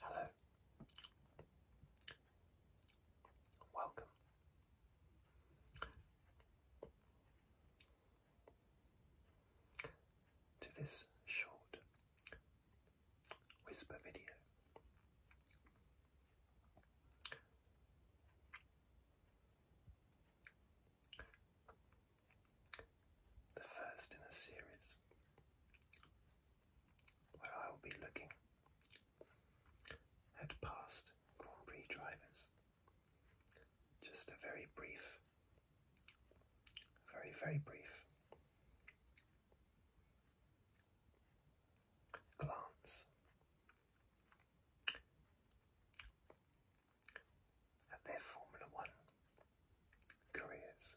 Hello, welcome. To this short whisper video the first in a series where I will be looking at past Grand Prix drivers. Just a very brief, very, very brief glance at their Formula One careers.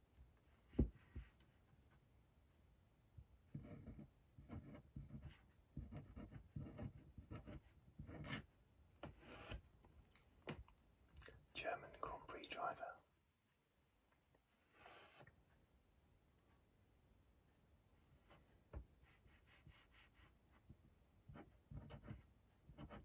German Grand Prix driver.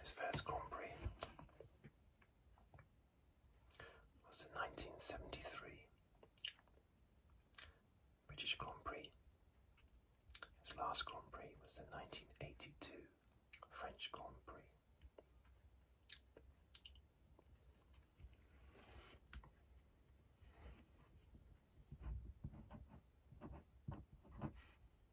His first Grand Prix was in 1973 British Grand Prix. His last Grand Prix was the 1982 French Grand Prix.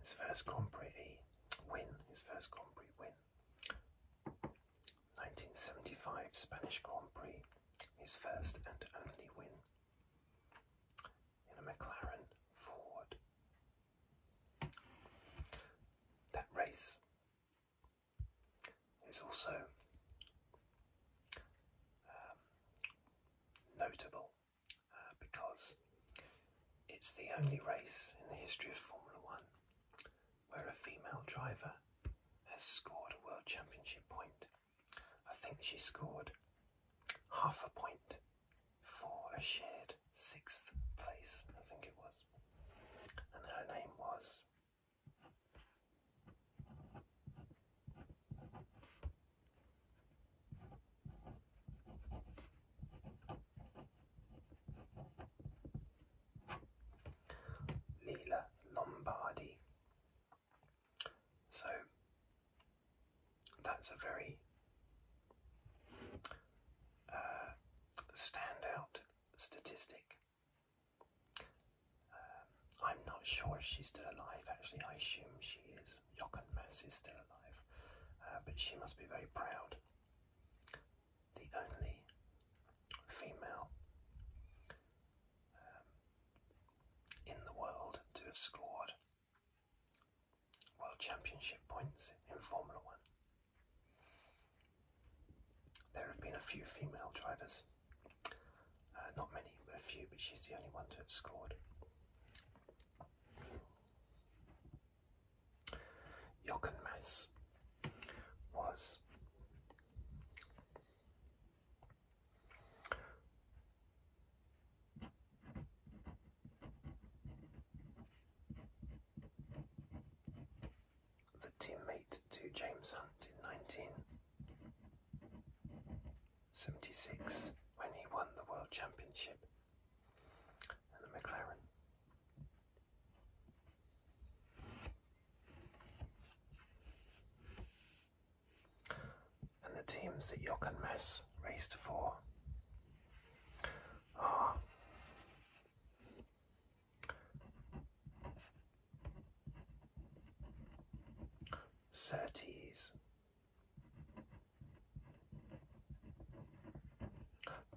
His first Grand Prix win, his first Grand Prix win. 1975 Spanish Grand Prix, his first and only win. In a McLaren Ford. That race is also um, notable uh, because it's the only race in the history of Formula One where a female driver has scored a World Championship point. I think she scored half a point for a shared sixth place, I think it was. And her name was Leela Lombardi. So that's a very uh, standout statistic um, I'm not sure if she's still alive, actually, I assume she is. Jochen Mass is still alive, uh, but she must be very proud. The only female um, in the world to have scored World Championship points in Formula One. There have been a few female drivers uh, not many, but a few, but she's the only one to have scored. Jochen Mass was the teammate to James Hunt in 1976 when he won the World Championship and the McLaren. And the teams that Jochen Mass raced for are Surtees.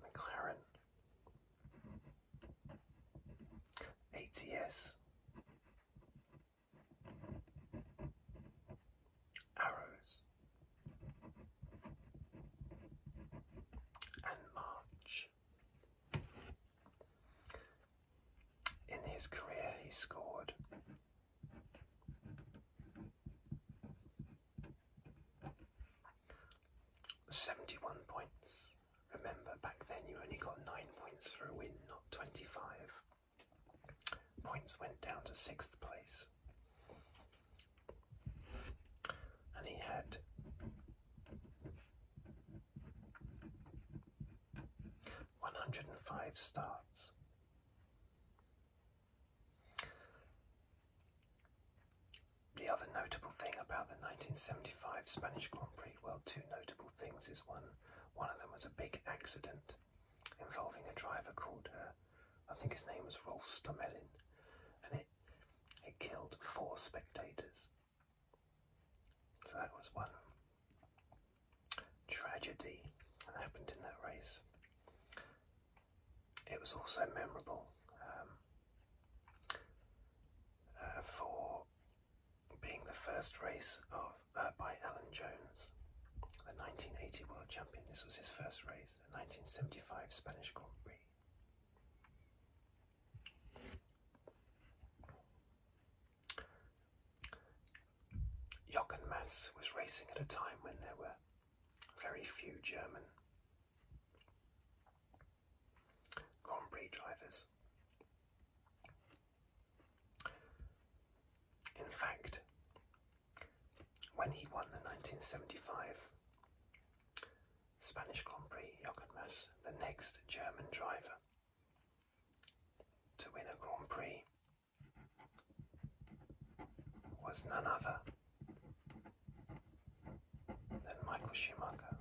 McLaren. ATS. Arrows and March. In his career, he scored seventy-one points. Remember, back then you only got nine points for a win, not twenty-five. Points went down to sixth place and he had one hundred and five starts. The other notable thing about the 1975 Spanish Grand Prix, well, two notable things is one. One of them was a big accident involving a driver called, uh, I think his name was Rolf Stomelin, and it killed four spectators. So that was one tragedy that happened in that race. It was also memorable um, uh, for being the first race of uh, by Alan Jones, the 1980 World Champion. This was his first race, the 1975 Spanish Grand Prix. Jochen Mass was racing at a time when there were very few German Grand Prix drivers. In fact, when he won the 1975 Spanish Grand Prix, Jochen Mass, the next German driver to win a Grand Prix, was none other than Michael Schumacher.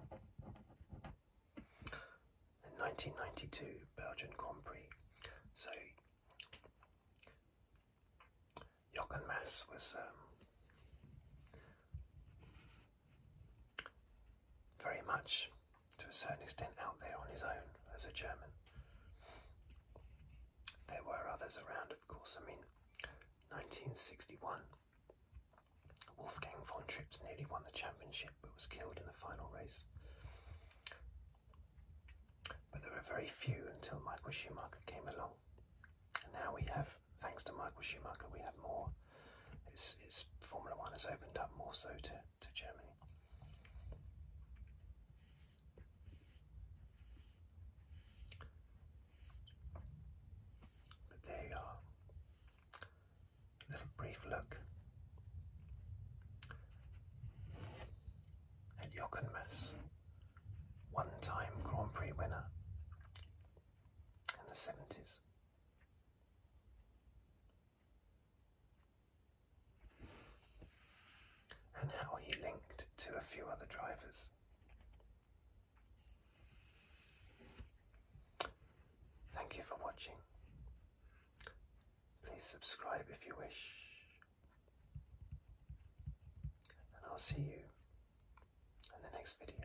In 1992 Belgian Grand Prix. So Jochen Mass was um, very much, to a certain extent, out there on his own as a German. There were others around, of course. I mean, 1961, Wolfgang von Trips nearly won the championship but was killed in the final race. But there were very few until Michael Schumacher came along. And now we have, thanks to Michael Schumacher, we have more. It's, Formula One has opened up more so to, to Germany. But there you are. A little brief look at Jochen one time Grand Prix winner in the 70s. And how he linked to a few other drivers. Thank you for watching. Please subscribe if you wish. And I'll see you in the next video.